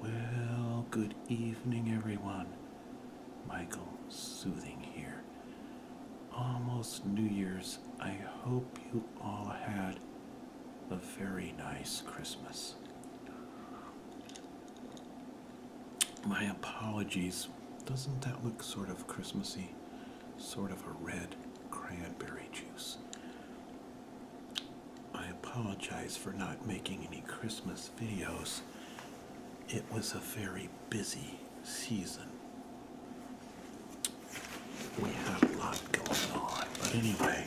Well, good evening, everyone. Michael Soothing here. Almost New Year's. I hope you all had a very nice Christmas. My apologies. Doesn't that look sort of Christmassy? Sort of a red cranberry juice. I apologize for not making any Christmas videos. It was a very busy season. We had a lot going on, but anyway,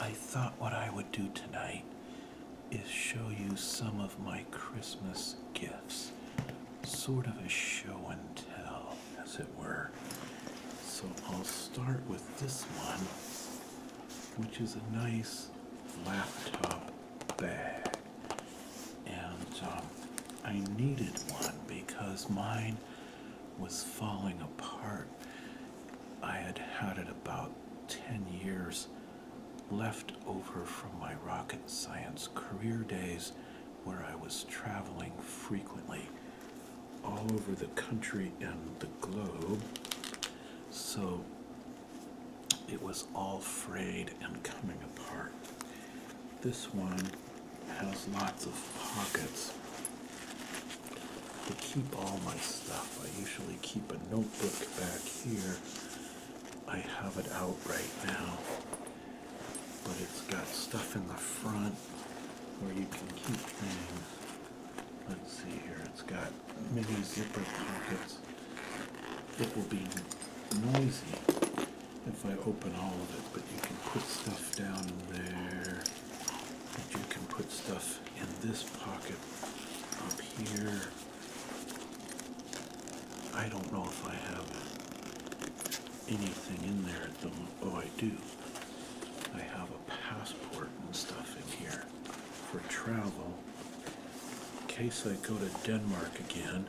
I thought what I would do tonight is show you some of my Christmas gifts. Sort of a show and tell, as it were. So I'll start with this one which is a nice laptop bag. And um, I needed one because mine was falling apart. I had had it about 10 years left over from my rocket science career days where I was traveling frequently all over the country and the globe. So it was all frayed and coming apart. This one has lots of pockets to keep all my stuff. I usually keep a notebook back here. I have it out right now, but it's got stuff in the front where you can keep things. Let's see here, it's got mini zipper pockets. It will be noisy if I open all of it, but you can put stuff down in there. But you can put stuff in this pocket up here. I don't know if I have anything in there at the moment. Oh, I do. I have passport and stuff in here for travel in case I go to Denmark again.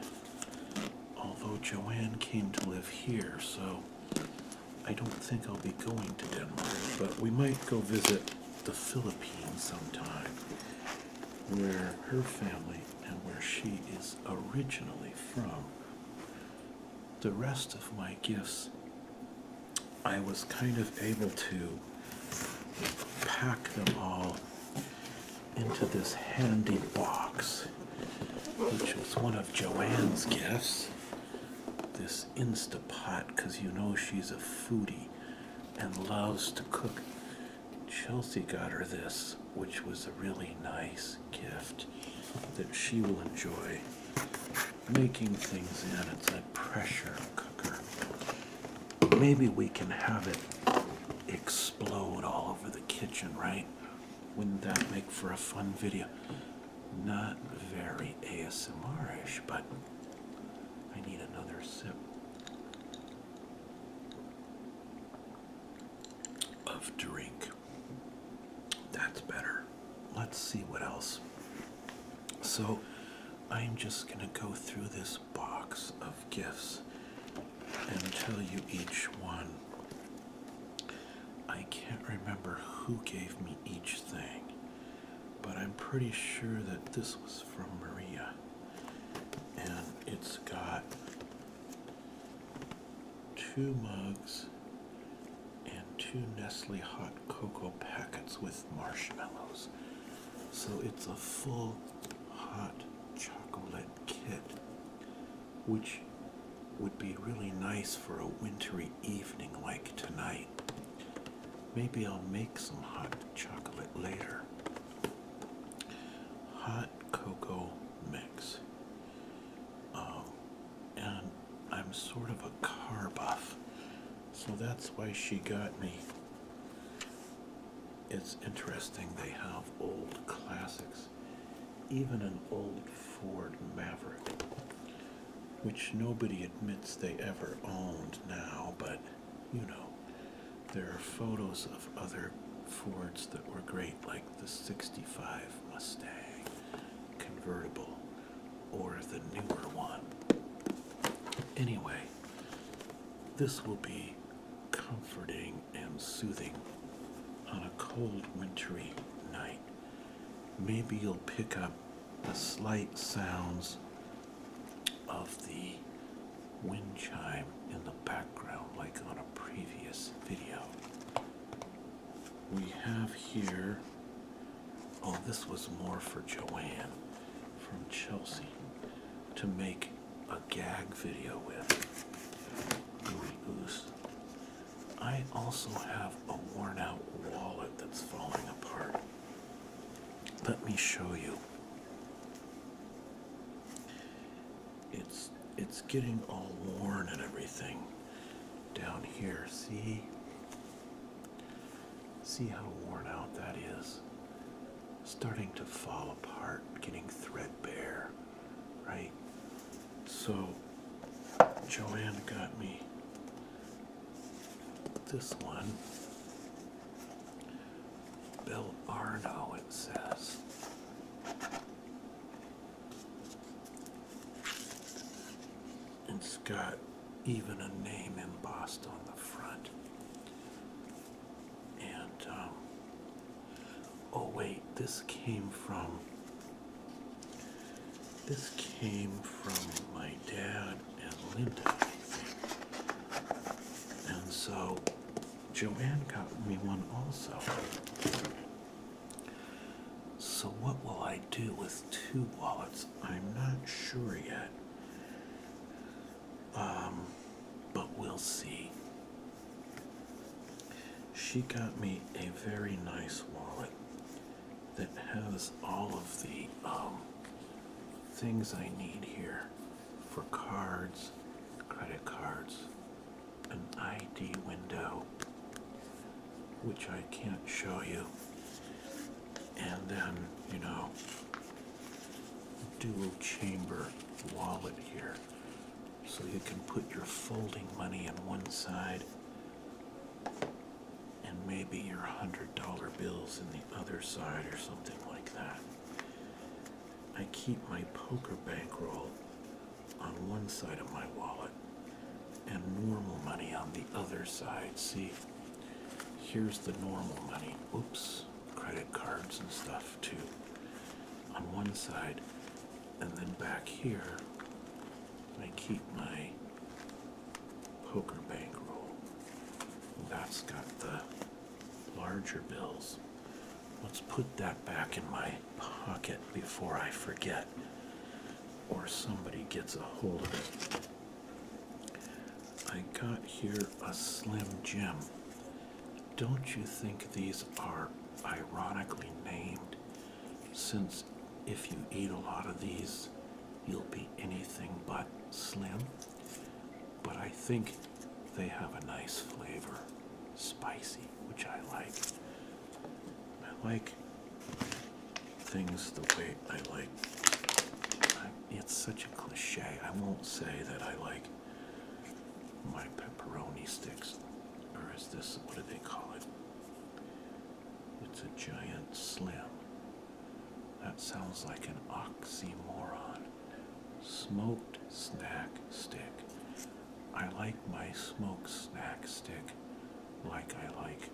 Although Joanne came to live here, so I don't think I'll be going to Denmark, but we might go visit the Philippines sometime, where her family and where she is originally from. The rest of my gifts I was kind of able to pack them all into this handy box, which was one of Joanne's gifts. This Instapot, because you know she's a foodie and loves to cook. Chelsea got her this, which was a really nice gift that she will enjoy making things in. It's a pressure cooker. Maybe we can have it explode all over the kitchen, right? Wouldn't that make for a fun video? Not very ASMRish, but I need another sip of drink. That's better. Let's see what else so I'm just going to go through this box of gifts and tell you each one. I can't remember who gave me each thing, but I'm pretty sure that this was from Maria. And it's got two mugs and two Nestle hot cocoa packets with marshmallows. So it's a full hot chocolate kit, which would be really nice for a wintry evening like tonight. Maybe I'll make some hot chocolate later. Hot cocoa mix. Um, and I'm sort of a car buff, so that's why she got me. It's interesting they have old classics, even an old Ford Maverick, which nobody admits they ever owned now, but you know, there are photos of other Fords that were great, like the 65 Mustang convertible or the newer one. Anyway, this will be comforting and soothing on a cold wintry night. Maybe you'll pick up the slight sounds of the wind chime in the background like on a previous video. We have here Oh, this was more for Joanne from Chelsea to make a gag video with. Goose. I also have a worn out wallet that's falling apart. Let me show you. It's it's getting all worn and everything down here. See? See how worn out that is. Starting to fall apart, getting threadbare, right? So, Joanne got me this one. Bill Arnow, it says. It's got even a name embossed on the front. And, um, oh wait, this came from, this came from my dad and Linda, And so Joanne got me one also. So, what will I do with two wallets? I'm not sure yet. Um, but we'll see. She got me a very nice wallet that has all of the um, things I need here for cards, credit cards, an ID window, which I can't show you, and then, you know, dual chamber wallet here. So you can put your folding money in one side and maybe your $100 bills in the other side or something like that. I keep my poker bankroll on one side of my wallet and normal money on the other side. See, here's the normal money. Oops, credit cards and stuff too on one side. And then back here, I keep my poker bankroll. That's got the larger bills. Let's put that back in my pocket before I forget or somebody gets a hold of it. I got here a Slim Jim. Don't you think these are ironically named? Since if you eat a lot of these, you'll be anything but slim. But I think they have a nice flavor, spicy, which I like. I like things the way I like. I, it's such a cliche. I won't say that I like my pepperoni sticks, or is this what do they call it? It's a giant slim. That sounds like an oxymoron. Smoked snack stick. I like my smoked snack stick like I like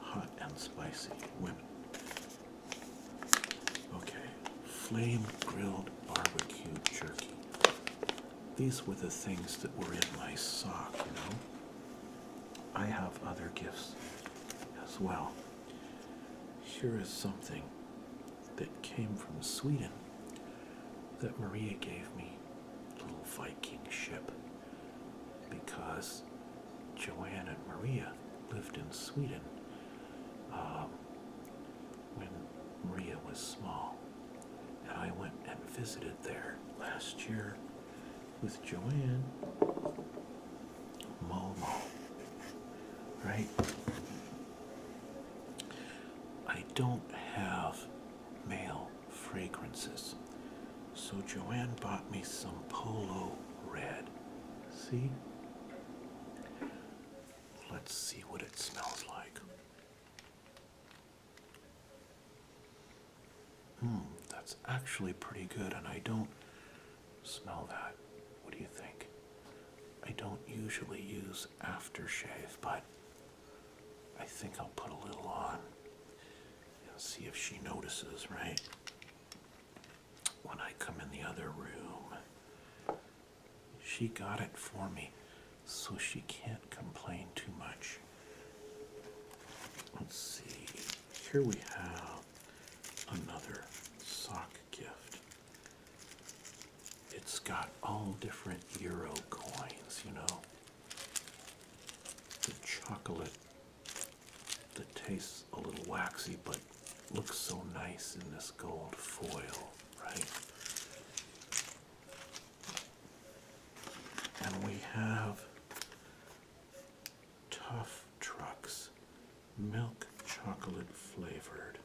hot and spicy women. Okay, flame grilled barbecue jerky. These were the things that were in my sock, you know. I have other gifts as well. Here is something that came from Sweden that Maria gave me. Little Viking ship because Joanne and Maria lived in Sweden um, when Maria was small. And I went and visited there last year with Joanne. Momo. Right? I don't have mail fragrances. So Joanne bought me some Polo Red. See? Let's see what it smells like. Hmm, that's actually pretty good, and I don't smell that. What do you think? I don't usually use aftershave, but I think I'll put a little on and see if she notices, right? When I come in the other room, she got it for me, so she can't complain too much. Let's see, here we have another sock gift. It's got all different euro coins, you know. The chocolate that tastes a little waxy but looks so nice in this gold foil, right? And we have Tough Trucks Milk Chocolate Flavored.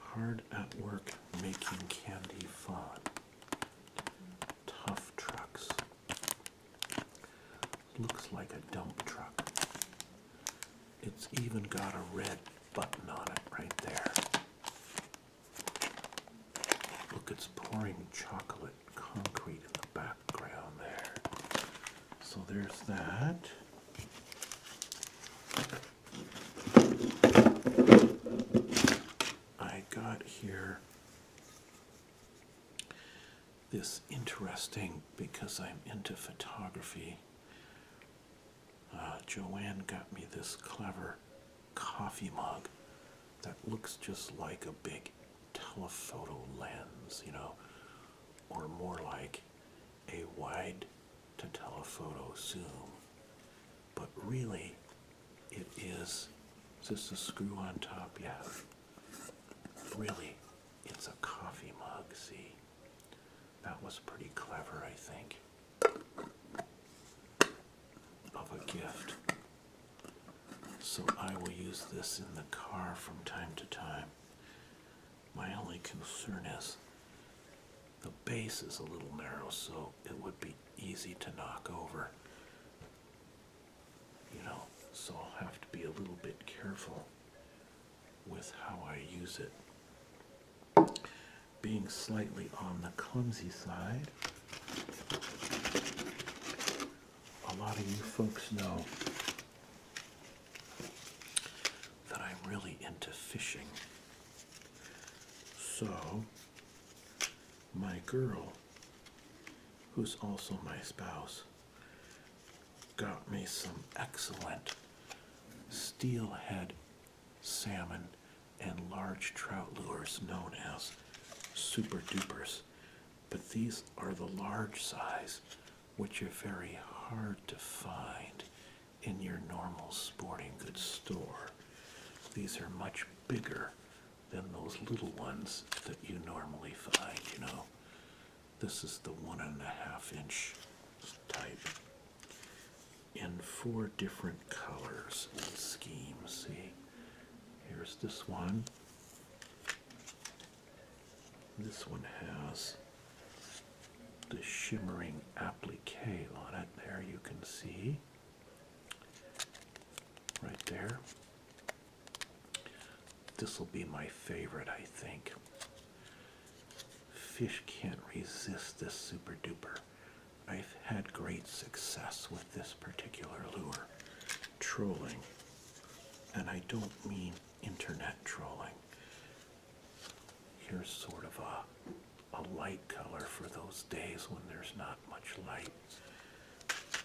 Hard at work making candy fun tough trucks. Looks like a dump truck. It's even got a red button on it right there. Look, it's pouring chocolate concrete in the background there. So there's that. I got here this interesting because I'm into photography. Uh, Joanne got me this clever coffee mug that looks just like a big telephoto lens, you know, or more like a wide to telephoto zoom. But really, it is just a screw on top, yeah. Really, it's a coffee mug, see? That was pretty clever, I think, of a gift. So I will use this in the car from time to time. My only concern is the base is a little narrow, so it would be easy to knock over. You know, so I'll have to be a little bit careful with how I use it. Being slightly on the clumsy side, a lot of you folks know that I'm really into fishing. So, my girl, who's also my spouse, got me some excellent steelhead salmon and large trout lures known as super dupers. But these are the large size, which are very hard to find in your normal sporting goods store. These are much bigger than those little ones that you normally find, you know. This is the one and a half inch type in four different colors and schemes. See, here's this one. This one has the shimmering applique on it. There you can see. Right there. This will be my favorite, I think. Fish can't resist this super duper. I've had great success with this particular lure, trolling. And I don't mean internet trolling. Here's sort of a a light color for those days when there's not much light.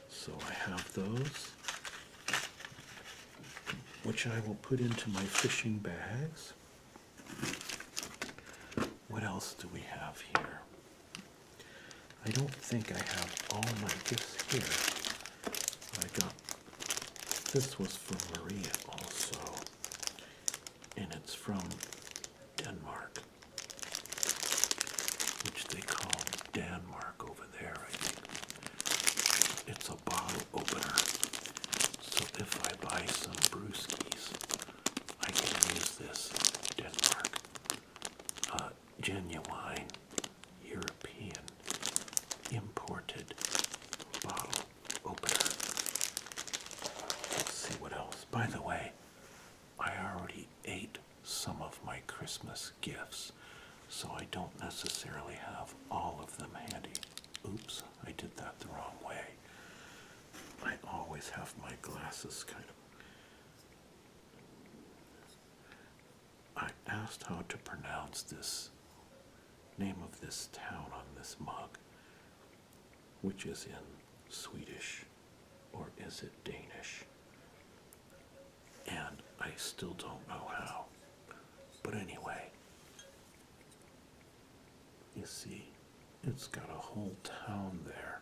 So I have those, which I will put into my fishing bags. What else do we have here? I don't think I have all my gifts here. I got this was for Maria also, and it's from Denmark which they call Denmark over there, I think. It's a bottle opener. So if I buy some brewskis, I can use this Denmark uh, genuine European imported bottle opener. Let's see what else. By the way, I already ate some of my Christmas gifts, so I don't necessarily have all of them handy. Oops, I did that the wrong way. I always have my glasses kind of. I asked how to pronounce this name of this town on this mug, which is in Swedish or is it Danish? And I still don't know how. But anyway, you see, it's got a whole town there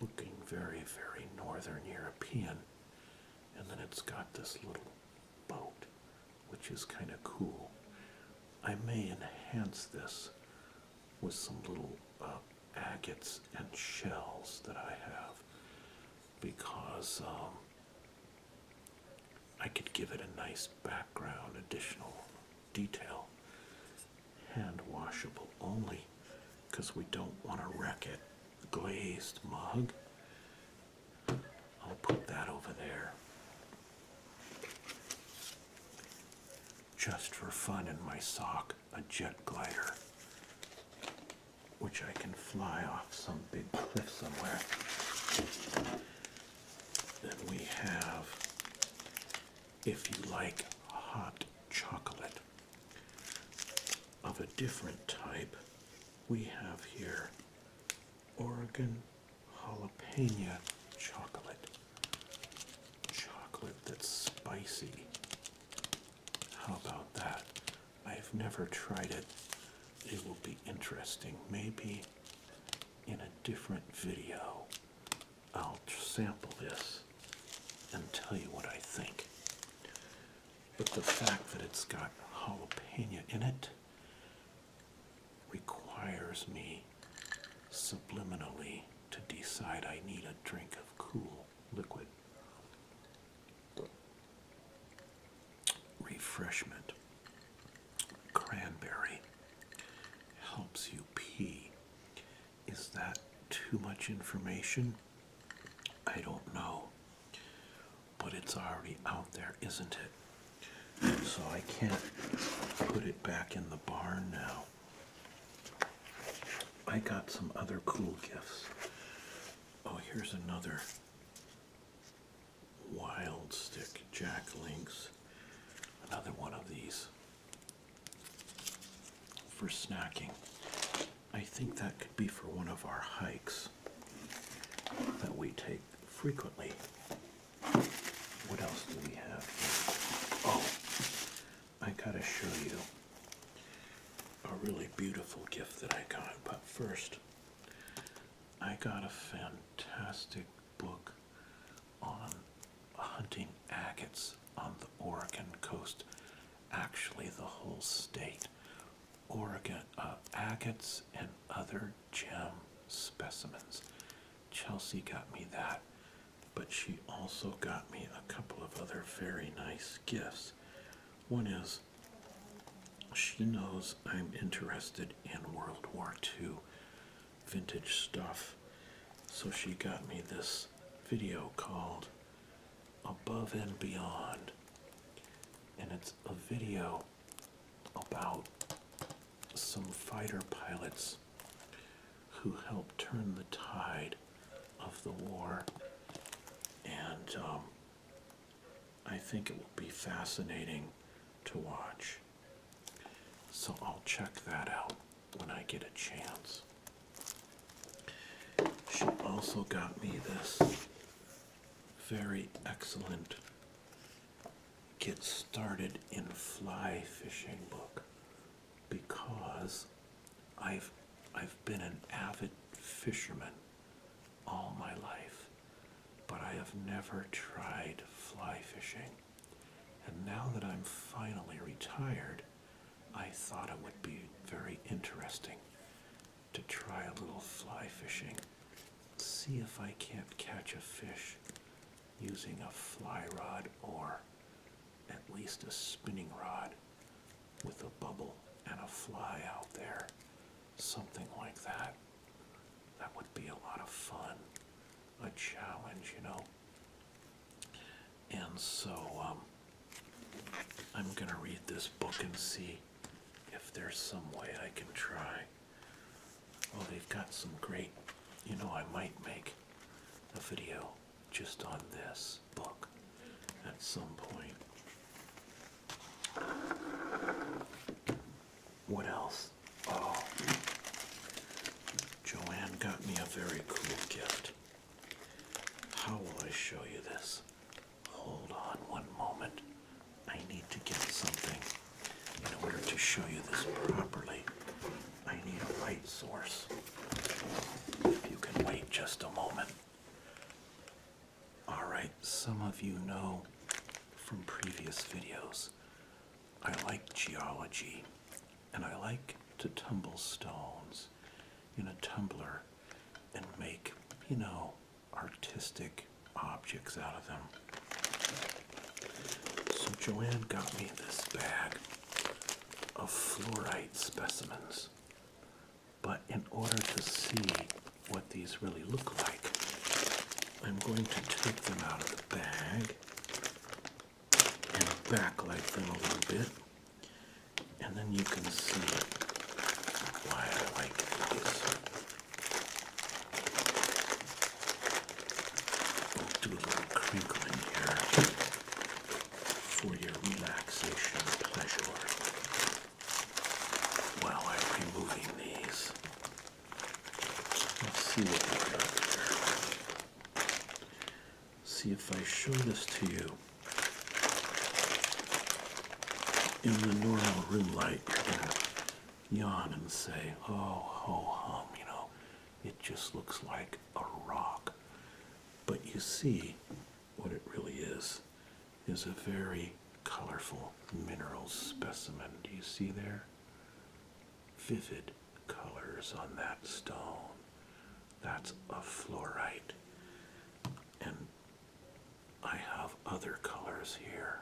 looking very, very northern European. And then it's got this little boat, which is kind of cool. I may enhance this with some little uh, agates and shells that I have because um, I could give it a nice background, additional detail. Hand washable only because we don't want to wreck it. Glazed mug. I'll put that over there just for fun in my sock a jet glider, which I can fly off some big cliff somewhere. Then we have, if you like hot chocolate of a different type, we have here Oregon jalapeno chocolate. Chocolate that's spicy. How about that? I've never tried it. It will be interesting. Maybe in a different video, I'll sample this and tell you what I think. But the fact that it's got jalapeno in it requires me subliminally to decide I need a drink of cool liquid refreshment. Cranberry helps you pee. Is that too much information? I don't know, but it's already out there, isn't it? So I can't put it back in the barn now. I got some other cool gifts. Oh, here's another wild stick jack Another one of these for snacking. I think that could be for one of our hikes that we take frequently. What else do we have here? Oh, I gotta show you a really beautiful gift that I got. But first, I got a fantastic book on hunting agates on the Oregon coast. Actually, the whole state. Oregon uh, agates and other gem specimens. Chelsea got me that but she also got me a couple of other very nice gifts. One is she knows I'm interested in World War II vintage stuff, so she got me this video called Above and Beyond, and it's a video about some fighter pilots who helped turn the tide of the war. And um, I think it will be fascinating to watch. So I'll check that out when I get a chance. She also got me this very excellent Get Started in Fly Fishing book because I've I've been an avid fisherman all my life, but I have never tried fly fishing. And now that I'm finally retired, I thought it would be very interesting to try a little fly fishing, see if I can't catch a fish using a fly rod or at least a spinning rod with a bubble and a fly out there, something like that. That would be a lot of fun, a challenge, you know. And so um, I'm going to read this book and see if there's some way I can try Oh, they've got some great, you know, I might make a video just on this book at some point. What else? Oh, Joanne got me a very cool gift. How will I show you this? Hold on one moment. I need to get something in order to show you this properly. I need a light source. If you can wait just a moment. Alright, some of you know from previous videos, I like geology and I like to tumble stones in a tumbler and make, you know, artistic objects out of them. So Joanne got me this bag of fluorite specimens. But in order to see what these really look like, I'm going to take them out of the bag and backlight them a little bit. And then you can see why I like these do a little crinkling here for your relaxation pleasure while I'm removing these. Let's see what we got here. See if I show this to you in the normal room light, you're gonna yawn and say, "Oh, ho, hum," you know. It just looks like a rock. But you see, what it really is, is a very colorful mineral specimen. Do you see there? Vivid colors on that stone. That's a fluorite. And I have other colors here.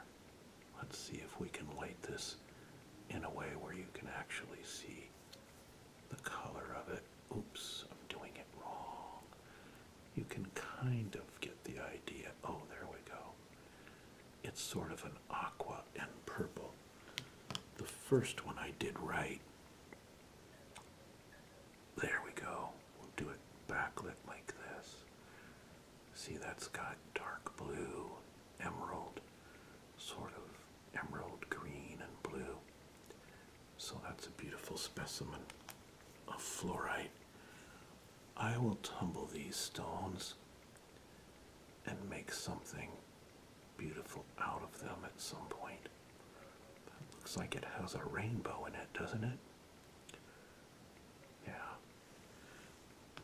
Let's see if we can light this in a way where you can actually see the color of it. Oops, I'm doing it wrong. You can kind of get the idea. Oh, there we go. It's sort of an aqua and purple. The first one I did right. There we go. We'll do it backlit like this. See, that's got dark blue emerald, sort of emerald green and blue. So that's a beautiful specimen of fluorite. I will tumble these stones and make something beautiful out of them at some point. looks like it has a rainbow in it, doesn't it? Yeah.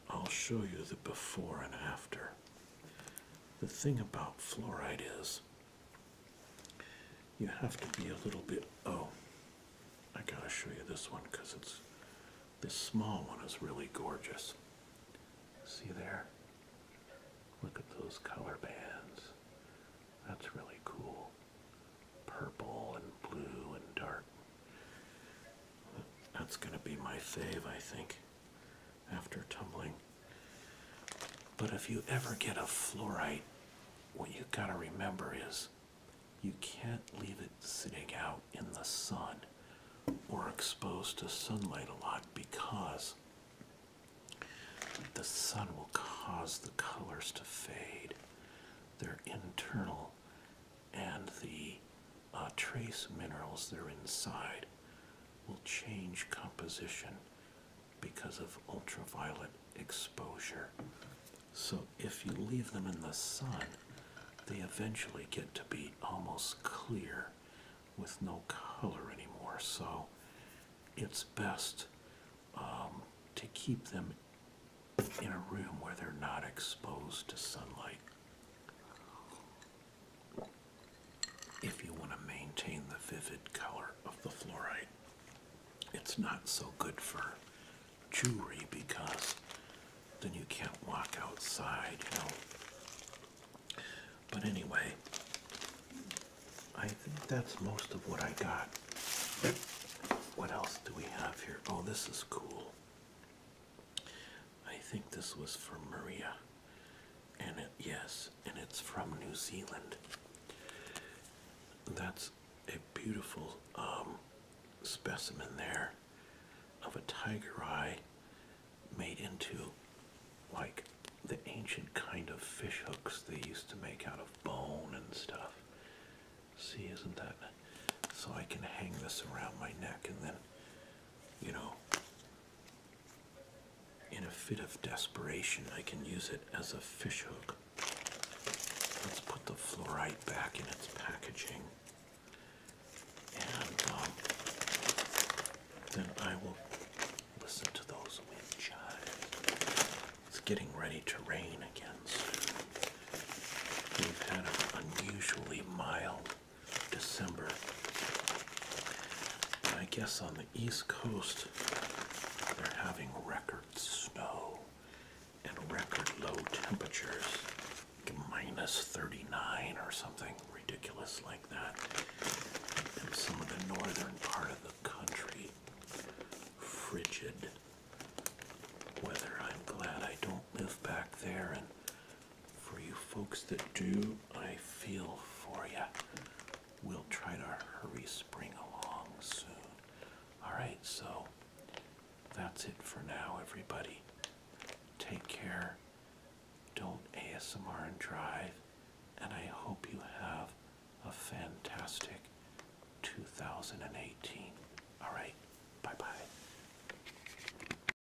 I'll show you the before and after. The thing about fluoride is you have to be a little bit. Oh, I gotta show you this one because it's. This small one is really gorgeous. See there? Look at those color bands. That's really cool. Purple and blue and dark. That's gonna be my fave, I think after tumbling. But if you ever get a fluorite, what you gotta remember is you can't leave it sitting out in the sun or exposed to sunlight a lot because the sun will cause the colors to fade. They're internal and the uh, trace minerals that are inside will change composition because of ultraviolet exposure. So if you leave them in the sun, they eventually get to be almost clear with no color anymore. So it's best um, to keep them in a room where they're not exposed to sunlight if you want to maintain the vivid color of the fluorite. It's not so good for jewelry because then you can't walk outside, you know. But anyway, I think that's most of what I got. What else do we have here? Oh, this is cool. I think this was for Maria. And it, yes, and it's from New Zealand. That's a beautiful um, specimen there of a tiger eye made into like the ancient kind of fish hooks they used to make out of bone and stuff. See, isn't that? So I can hang this around my neck and then, you know, in a fit of desperation, I can use it as a fishhook. Let's put the fluorite back in its packaging. And um, then I will listen to those wind It's getting ready to rain again We've had an unusually mild December. I guess on the East Coast, they're having record snow and record low temperatures, 39 or something ridiculous like that. And some of the northern part of the country, frigid weather. I'm glad I don't live back there for you folks that do, I feel for you. We'll try to hurry spring along soon. Alright, so that's it for now, everybody. Take care. Don't ASMR and drive. And I hope you have a fantastic 2018. Alright, bye bye.